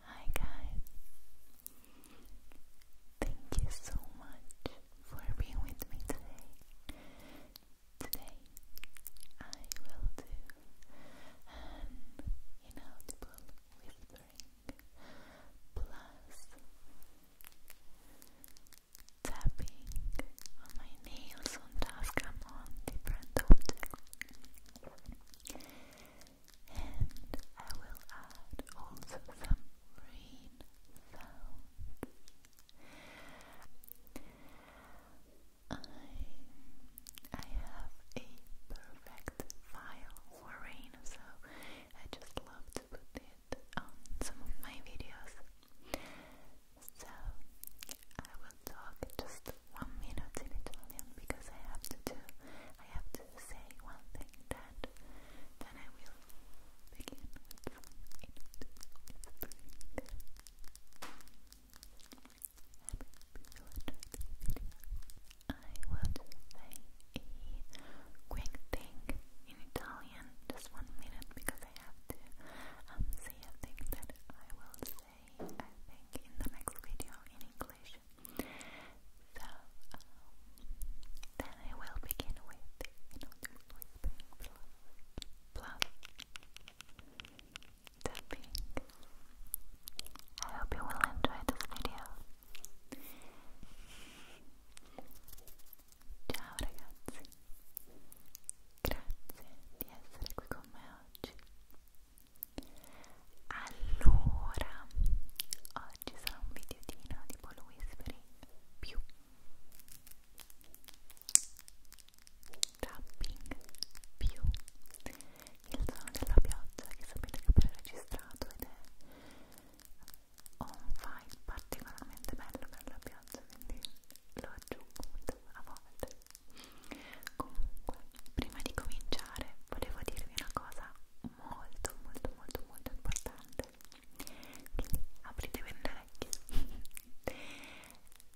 Hi guys. Thank you so much for being with me today. Today I will do an um, you know Google whispering plus tapping on my nails on task and on different objects and I will add also some rain sounds I I have a perfect file for rain, so I just love to put it on some of my videos. So I will talk just one minute in Italian because I have to do I have to say one thing that then I will begin with some would say a quick thing in Italian, just one minute, because I have to um, say a thing that I will say, I think, in the next video in English. So, then I will begin with, you tapping. I hope you will enjoy this video. Ciao ragazzi, grazie di essere qui con me oggi. Allora, oggi sarà un videotino tipo lo whispering più tapping più il suono della pioggia che sapete che ho pre-registrato ed è ho un file particolarmente bello per la pioggia quindi lo aggiungo a volte comunque prima di cominciare volevo dirvi una cosa molto molto molto molto importante quindi apritevi le orecchie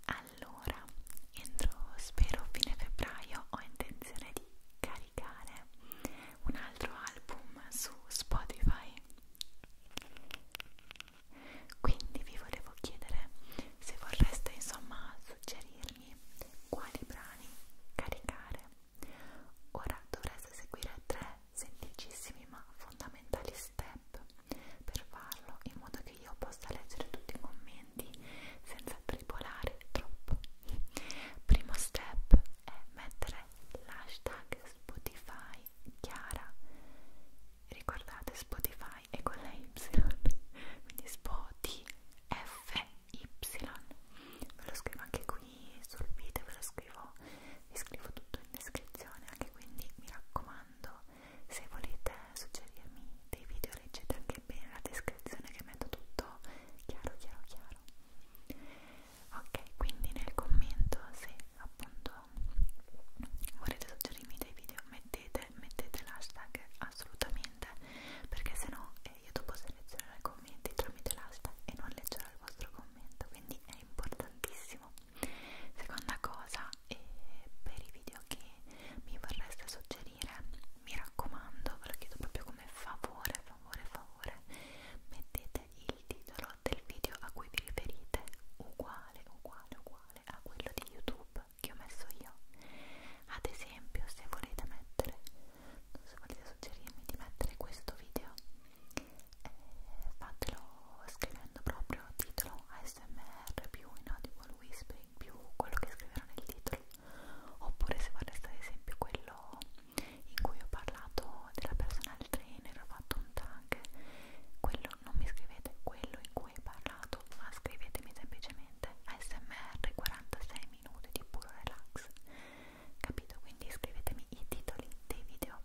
a allora, entro spero fine febbraio ho intenzione di caricare un altro album su Spotify. Quindi vi volevo chiedere se vorreste insomma suggerirmi quali brani caricare. Ora dovreste seguire tre semplicissimi ma fondamentali step per farlo in modo che che io possa leggere tutti i commenti senza tripolare troppo. Primo step è mettere l'hashtag Spotify Chiara. Ricordate Spotify è con la Y, quindi SpotiFY. Ve lo scrivo anche qui sul video, ve lo scrivo, vi scrivo tutto in descrizione anche quindi mi raccomando se volete suggerirmi dei video video leggete anche bene la descrizione che metto tutto chiaro chiaro chiaro ok quindi nel commento se appunto volete suggerirmi dei video mettete, mettete l'hashtag assolutamente perché sennò eh, io dopo selezionerò i commenti tramite l'hashtag e non leggerò il vostro commento quindi è importantissimo seconda cosa eh, per i video che mi vorreste suggerire, mi raccomando, ve lo chiedo proprio come favore, favore, favore, mettete il titolo del video a cui vi riferite uguale, uguale, uguale a quello di YouTube che ho messo io. Ad esempio, se volete mettere, se volete suggerirmi di mettere questo video, eh, fatelo scrivendo proprio titolo ASMR più in audio whispering più quello che scriverò nel titolo oppure se vorreste ad esempio quello in cui ho parlato della personal trainer, ho fatto un tag, quello non mi scrivete quello in cui ho parlato, ma scrivetemi semplicemente ASMR 46 minuti di puro relax, capito? Quindi scrivetemi i titoli dei video,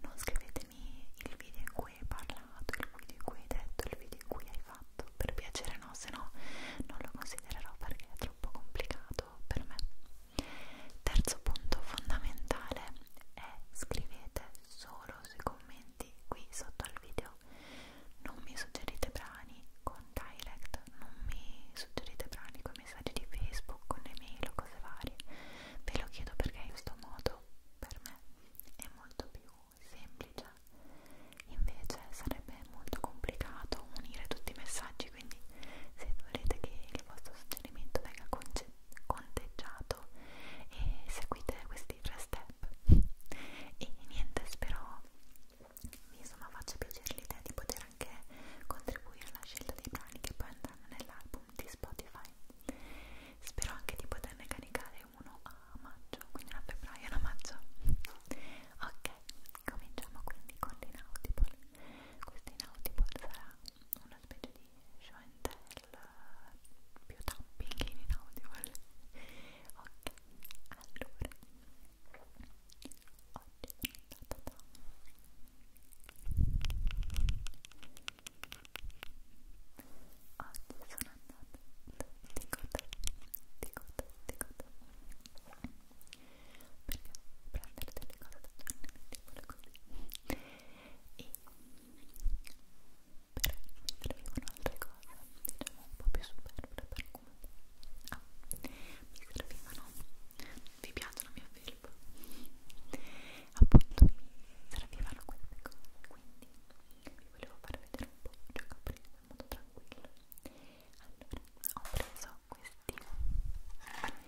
non scrivetemi il video in cui cui hai parlato, il cui di cui hai detto, il video di cui hai fatto, per piacere no, se no non lo considererò perché è troppo complicato per me. Terzo punto fondamentale è scrivete solo sui commenti qui sotto al video, non mi suggerite brani con direct, non mi suggerite brani con messaggi di Facebook, con email o cose varie, ve lo chiedo perché in questo modo per me è molto più semplice invece sarebbe molto complicato unire tutti i messaggi quindi se volete che il vostro suggerimento venga conteggiato e eh, seguite questi tre step e niente spero vi insomma faccia piacere l'idea di poter anche contribuire alla scelta dei brani che poi andranno nell'album di Spotify spero anche di poterne caricare fare uno a maggio, quindi una a febbraio e una a maggio. Ok, cominciamo quindi con l'Inaudible. Questo Inaudible sarà una specie di show and tell eh, più tapping in Inaudible. Ok, allora oggi ta ta ta. Oggi sono andata di coda, di coda, di coda perché prendere delle cose da giorni così e però mi servivano altre cose diciamo un po' più superflue per comunque ah, mi servivano vi piacciono mio film appunto mi servivano queste cose quindi vi volevo far vedere un po' i giocattoli in modo tranquillo allora, ho preso questi che erano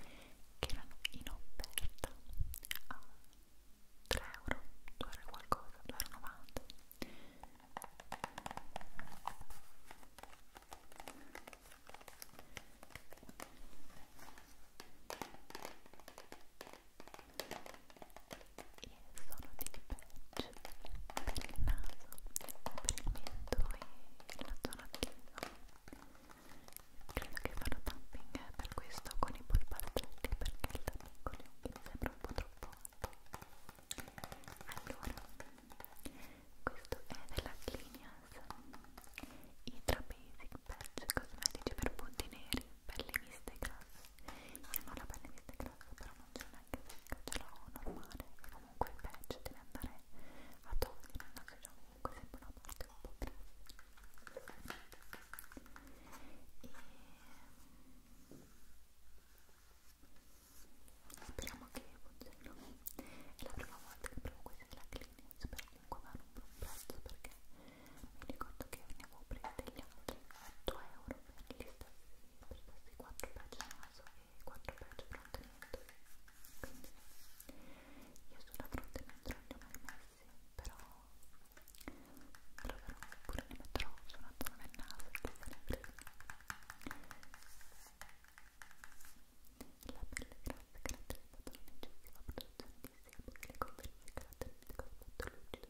in offerta a 3 euro, 2 euro qualcosa, 2,90 euro e e sono dei patch per il naso, per il mento e la zona chiesa credo che farò tapping per questo con i polpastretti perché il tapping con gli occhi mi sembra un po' troppo alto allora, questo è della Clinias Hydra Basic Patch Cosmetici per punti neri, pelli miste e grasse io non ho la pelle disintegrata, però non ce l'ho neanche secca, ce l'ho normale e comunque il patch deve andare a togliere il naso, cioè comunque sembra una parte un po' più... E... Speriamo che funzioni. È la prima volta che provo questa della clinica, spero comunque va a rompere un prezzo perché mi ricordo che ne avevo presi degli altri 8 euro lista per questi 4 pagine naso e 4 pagine fronte mento quindi io sulla fronte mento li ho mai messi però proverò oppure ne metterò sulla zona del naso che se ne frega la pelle grassa caratterizzata da un'eccessiva produzione di sebo che le conferisce caratteristico aspetto lucido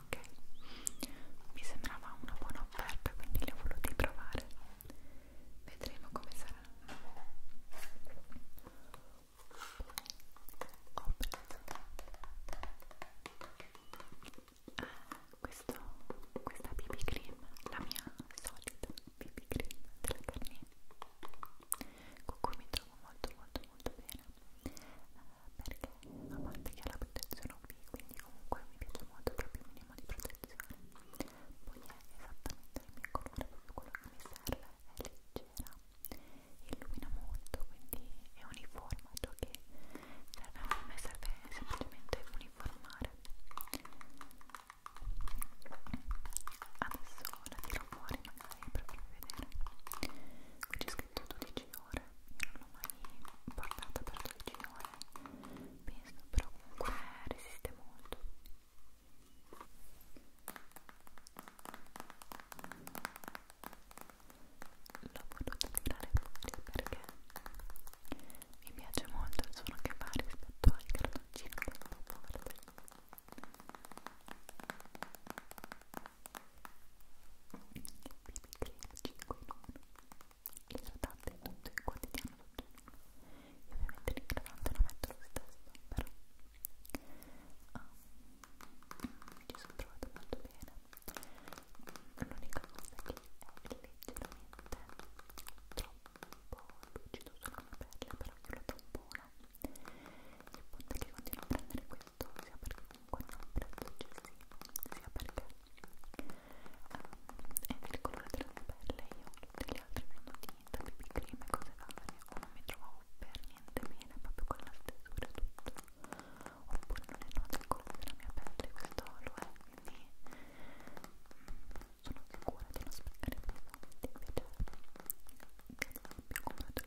ok mi sembrava una buona offerta quindi li ho voluti provare vedremo come sarà ho ah, preso questo, questa BB cream la mia solita BB cream della Garnier con cui mi trovo molto molto molto bene perché a parte che ha la protezione UV quindi comunque mi piace molto che abbia un minimo di protezione poi è esattamente il mio colore proprio quello che mi serve è leggera illumina molto quindi è uniforme ciò che serve a me serve semplicemente uniformare adesso la tiro fuori ma dai per farvi vedere qui c'è scritto 12 ore io non l'ho mai portata per 12 ore penso però comunque resiste molto l'ho potuto tirare fuori perché mi piace molto il suono che fa rispetto al cartoncino che avevo portato idratante è tutto il quotidiano tutto io ovviamente l'idratante lo metto lo stesso però um, ci sono trovato molto bene l'unica cosa che è leggermente troppo lucido sulla mia pelle però io lo tampono il punto è che continuo a prendere quel tutto sia perché comunque non ha un prezzo eccessivo sia perché um, è il colore della mia pelle io tutte le altre mie tinta, BB cream e cose varie o non mi trovavo per niente bene proprio con la stesura e tutto oppure non è noto il colore della mia pelle questo lo è quindi mm, sono sicura di non sprecare più soldi invece mi ho comprato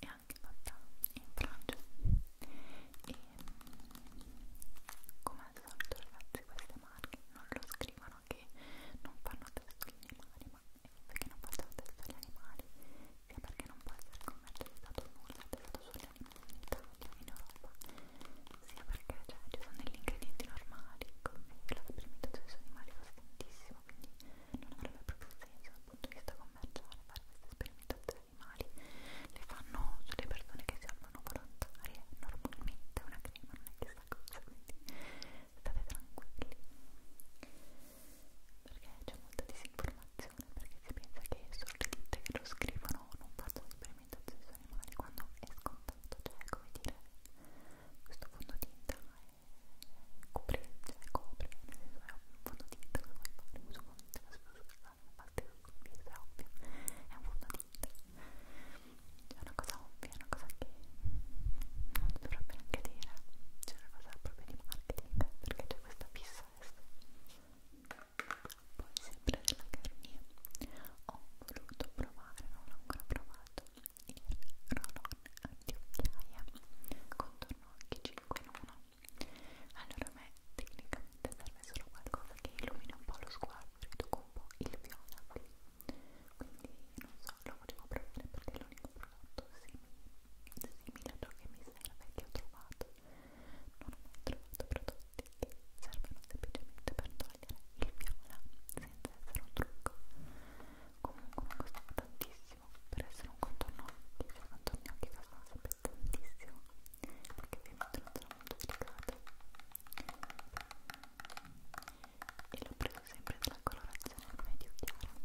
è anche fatta in Francia e come al solito ragazzi queste marche non lo scrivono che non fanno testo agli animali ma perché non fanno testo agli animali sia perché non può essere commercializzato nulla testo sugli in Italia, in Europa sia perché cioè, ci sono degli ingredienti normali come la fermentazione sui animali costa tantissimo quindi non avrebbe proprio senso dal punto di vista commerciale fare queste sperimentazioni animali le fanno sulle persone che si amano volontarie normalmente una crema non è chissà cosa quindi state tranquilli perché c'è molta disinformazione programmazione perché si pensa che solo le ditte che lo scrivono non facciano sperimentazioni su animali quando è scontato, cioè come dire questo fondotinta è copre, cioè copre, nel senso è un fondotinta che vuoi fare uso con la parte è ovvio, è un fondotinta è una cosa ovvia, è una cosa che non dovrebbe neanche dire, c'è una cosa proprio di marketing perché c'è questa fissa adesso poi sempre della Garnier ho voluto provare, non l'ho ancora provato il roll-on anti-occhiaia contorno occhi 5 in 1 allora a me tecnicamente serve solo qualcosa che illumina un po' lo sguardo riduco un po' il viola qui quindi non so, lo volevo provare perché è l'unico prodotto simile, simile a ciò che mi serve che ho trovato non ho mai trovato prodotti che servono semplicemente per togliere il viola senza essere un trucco. Comunque mi costava tantissimo per essere un contorno occhi, cioè contorno occhi costano sempre tantissimo perché ovviamente non sono molto delicate e l'ho preso sempre della colorazione medio chiara e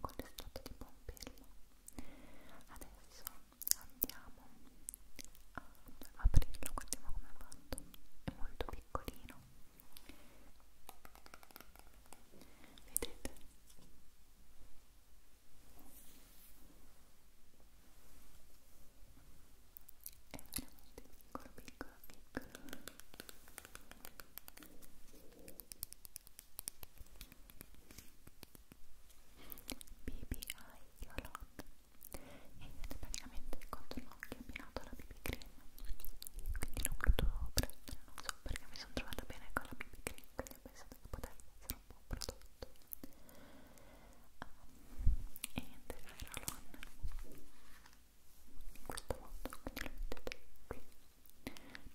con l'estratto di pompelmo adesso andiamo a aprirlo guardiamo come è fatto è molto piccolino vedete è veramente piccolo piccolo piccolo BB Eye Yolot ed è praticamente il contorno occhio abbinato alla BB Cream quindi l'ho voluto prendere, non so perché mi sono trovata bene con la BB Cream quindi ho pensato che potesse essere un buon prodotto um, e niente, Ferralon in questo modo quindi lo mettete qui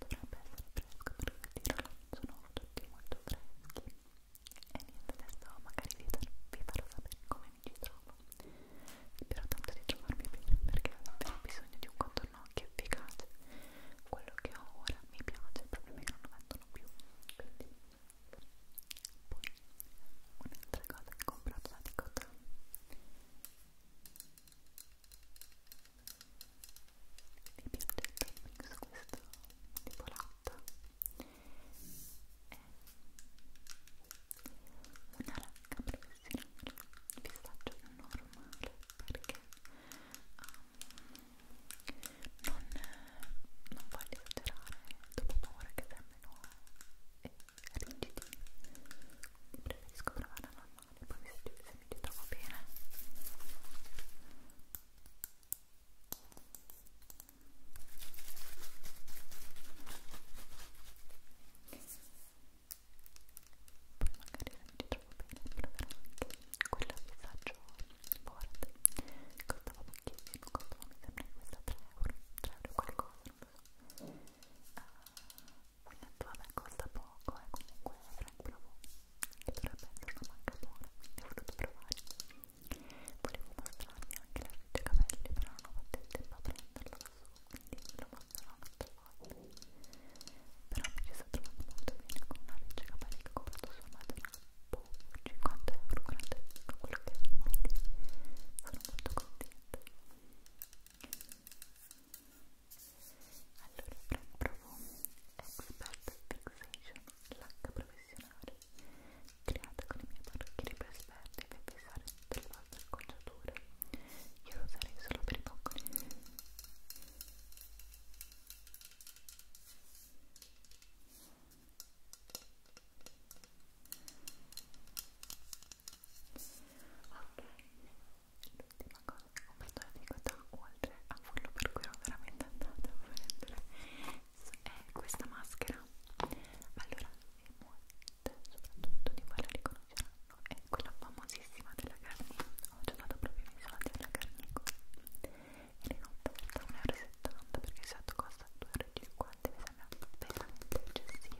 dovrebbe essere fresco perché tirano sono tutti molto freschi e niente adesso magari vi, vi farò sapere come mi ci trovo spero tanto di trovarmi bene perché ho davvero bisogno di un contorno occhi efficace quello che ho ora mi piace il problema è che non lo vendono più quindi poi un'altra cosa che ho comprato da Dicotan mi piace il mix questo tipo latta è una lacca professionale pistacchio normale perché um, non, non voglio esagerare dopo paura che sembrino rigidi preferisco provare la normale male, poi mi sentite se mi ti trovo bene. Poi magari se mi ti trovo bene proverò anche quella visaggio board costava pochissimo, costava mi sembra questa 3 euro, 3 euro qualcosa, non lo so. Uh, detto vabbè costa poco e eh, comunque Frank provò che dovrebbe essere una manca buona quindi ho voluto provare volevo mostrarvi anche la riccia capelli però non ho fatto il tempo a prenderla da su quindi ve lo mostrerò un'altra volta però mi ci sto trovando molto bene con una riccia capelli che ho comprato su Amazon 50 boh, euro, 40 euro, quello che è, quindi sono molto contenta allora provo Expert Fixation, lacca professionale, creata con i miei parrucchieri più esperti per fissare tutte le vostre acconciature. Io lo userei solo per i boccoli. Ok, l'ultima cosa che ho comprato all'antiquità oltre a quello per cui ero veramente andata a prendere è questa maschera allora e molte soprattutto di voi la riconosceranno è quella famosissima della Garnico ho giocato proprio i miei soldi alla Garnico e le ho pagata 1,70 euro perché il set costa 2,50 euro mi sembra veramente eccessivo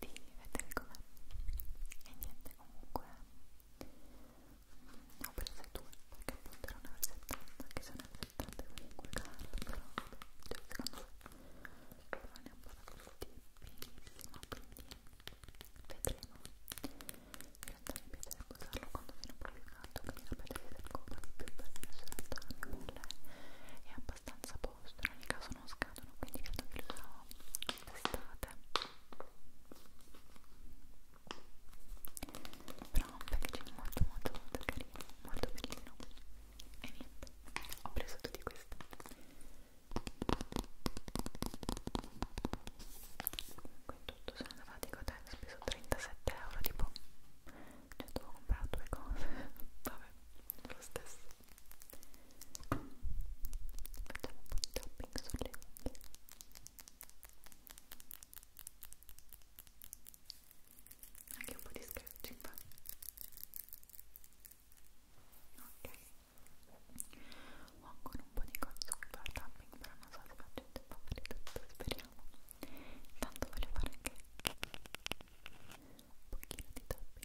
di vedere com'è e niente comunque mh, ho preso due perché appunto era una versettata che sono versettate comunque cara però cioè secondo me però ne ho parlato tutti benissimo quindi vedremo in realtà mi piacerebbe usarlo quando viene un po' più caldo quindi sapete che se compra di più per la scelta la mia pelle è abbastanza posto in ogni caso sono scadono quindi credo che lo userò d'estate però un packaging molto molto molto carino molto bellino e niente ho preso tutti questi in tutto sono andata a Cotel ho speso 37 euro tipo cioè dovevo comprare due cose vabbè lo stesso Facciamo un po' di tapping sulle unghie. Anche un po' di scratching. Ok. Ho ancora un po' di cose su cui fare tapping, però non so se faccio il tempo per tutto, speriamo. Intanto voglio fare anche un pochino di tapping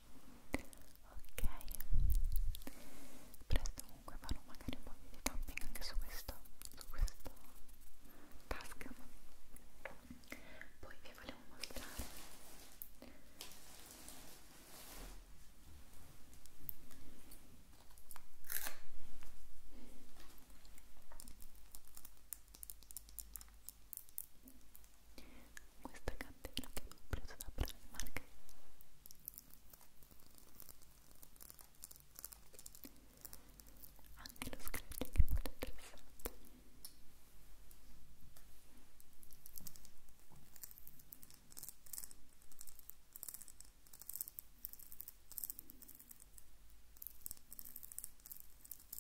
ok presto comunque farò magari un po' di tapping anche su questo su questo task poi vi volevo mostrare questa catena che ho preso da Primark anche lo scratching è molto interessante Ecco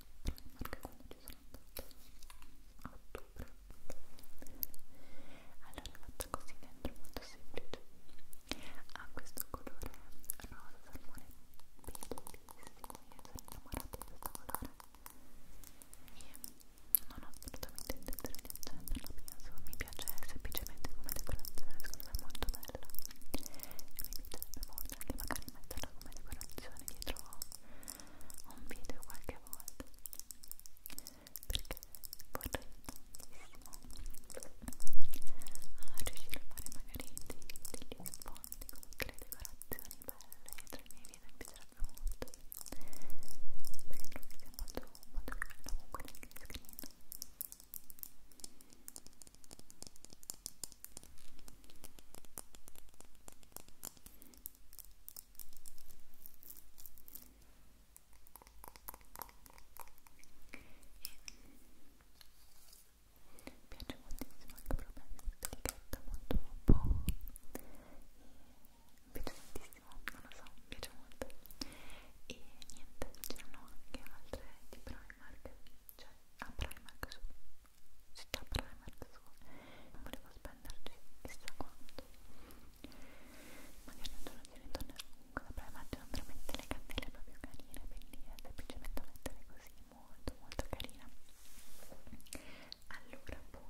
Danimarca quando ci sono andata a ottobre allora è fatta così dentro, molto semplice ha questo colore rosa salmone bellissimo io sono innamorata di questo colore e non ho assolutamente intenzione di accenderlo penso, mi piace semplicemente come decorazione secondo me è molto bella e mi piacerebbe molto anche magari metterla come decorazione dietro un video qualche volta perché vorrei tantissimo a ah, riuscire a fare magari degli sfondi con delle decorazioni belle tra i miei video mi piacerebbe molto perché trovo che sia molto, molto bello comunque nel green screen mi piace moltissimo anche proprio delicata, molto un mi piace tantissimo, non lo so, mi piace molto e niente, c'erano anche altre di Primark cioè a Primark su città primer su non volevo spenderci chissà quanto magari non ce ne tornerò comunque da primer c'erano veramente le candele proprio carine bellissime eh, semplicemente da mettere così molto molto carina allora poi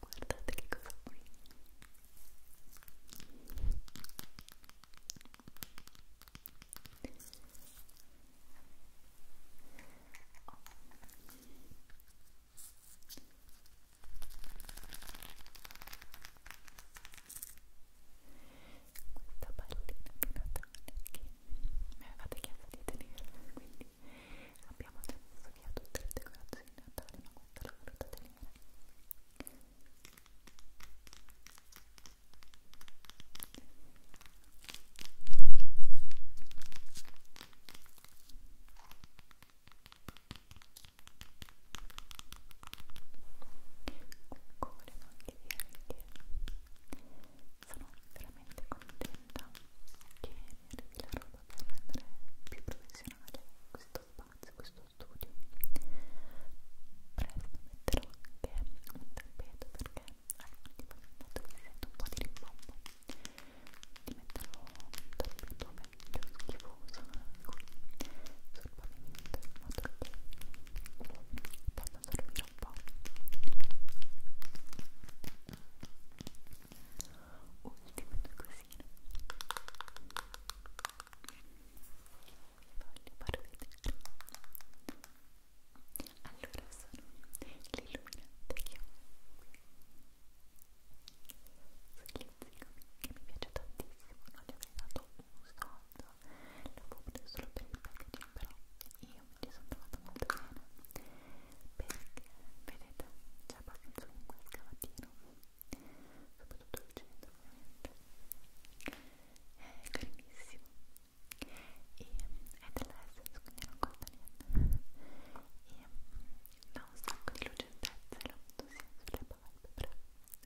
Guardate che cosa qui. Oh. Questa pallina di Natale che mi avevate chiesto di tenere, quindi Abbiamo già messo via tutte le decorazioni natali, ma questa la voluta tenere. Comunque volevo anche dire che sono veramente contenta che mi arrivi la roba per rendere più professionale questo spazio, questo studio presto metterò anche un tappeto perché alcuni di voi mi hanno detto che sento un po' di rimbombo ti metterò un tappeto meglio schifoso qui ecco, sul pavimento in modo che possa dormire un po' ultime due cosine voglio far vedere allora sono l'illuminante che ho Slizzicami che mi piace tantissimo, non gli avrei dato un soldo, l'avevo preso solo per il packaging però io mi ci sono trovata molto bene perché, vedete, c'è abbastanza comunque il cavatino soprattutto il centro ovviamente è carinissimo e è dell'essence quindi non costa niente e dà un sacco di lucentezza e l'ho avuto sia sulle palpebre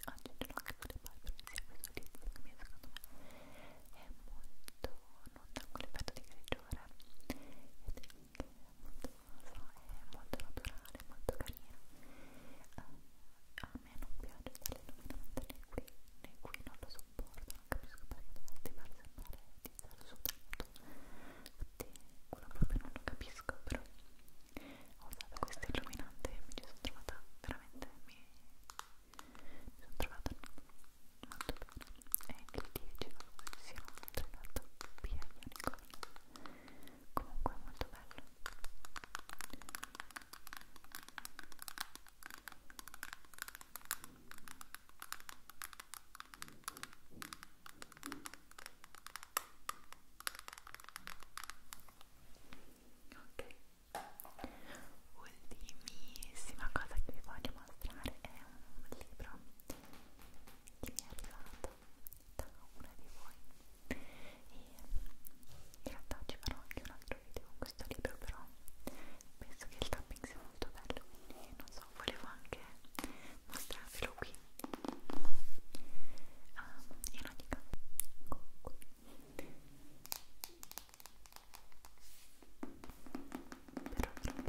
oggi ce l'ho anche sulle palpebre sia questo lizzo che secondo me è molto non dà quell'effetto di grigiore ed è anche molto rosa, è molto naturale, molto carina uh, eh, a me non piace l'illuminante né qui né qui non lo sopporto, non capisco perché ti far sembrare di stare sudato infatti quello proprio non lo capisco però ho usato questo illuminante e mi ci sono trovata veramente mi mi sono trovata molto bene e il 10 dopo siamo tornati via di unicorno comunque è molto bello Ok, ultimissima cosa che vi voglio mostrare è un libro che mi è arrivato da una di voi e in realtà ci farò anche un altro video con questo libro però penso che il tapping sia molto bello quindi non so, volevo anche mostrarvelo qui um, in ogni caso comunque ecco però credo che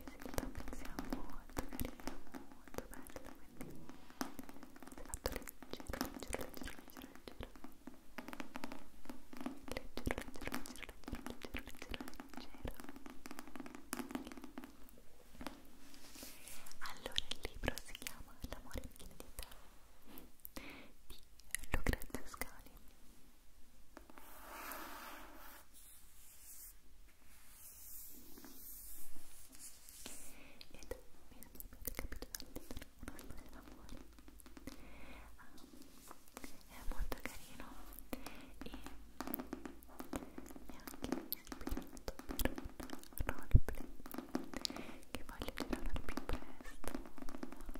il topic sia molto carino, molto bello quindi si è fatto leggero, leggero, leggero, leggero, leggero leggero, leggero, leggero, leggero, leggero, leggero allora il libro si chiama L'amore infinita di Lucrezia Scali ed mi avete capito dal titolo, una storia d'amore um, è molto carino e mi ha anche ispirato per un roleplay che voglio tirare più presto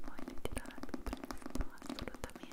voglio tirare più presto assolutamente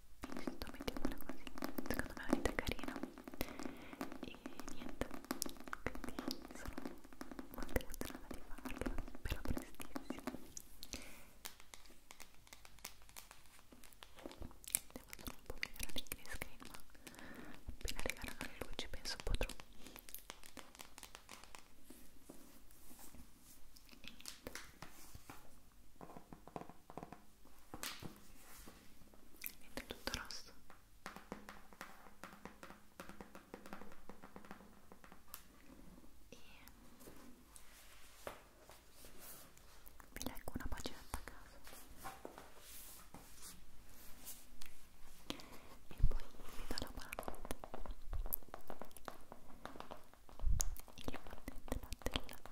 Questo mettiamola così, secondo me è un'idea carina e niente, quindi sono molto emozionata di farla, però prestissimo devo solo un po' migliorare il green screen ma appena arriveranno le luci penso potrò e niente Niente, tutto rosso. E vi leggo una pagina a caso. E poi vi do la buonanotte. Il battente battella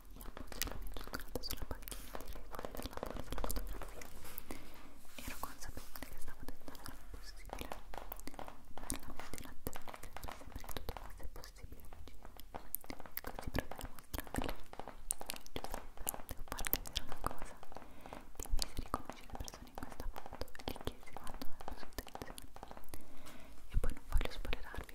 e appoggio la mia cioccolata sulla panchina di regole della borsa della fotografia. Ero consapevole che stavo tentando l'impossibile. Ma era la mia dilazione che creare sempre che tutto fosse possibile vicino. Così ecco, provai a mostrarle. Giuseppe, devo farti vedere una cosa. Dimmi se riconosci le persone in questa foto e gli chiesi quando è la sua intenzione. E poi non voglio spoilerarvi.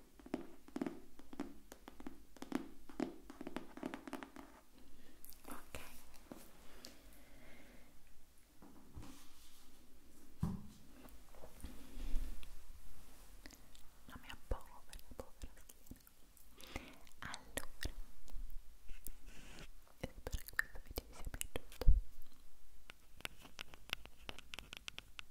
Ok. La mia povera, povera schiena. Allora, spero che questo video vi sia piaciuto.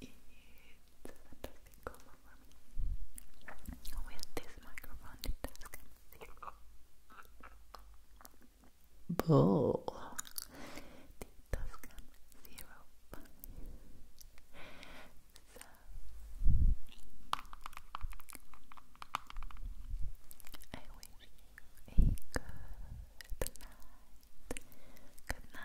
It's a fantastic With this microphone, it zero. Bull. It does come zero. I wish you a good night. Good night. Good night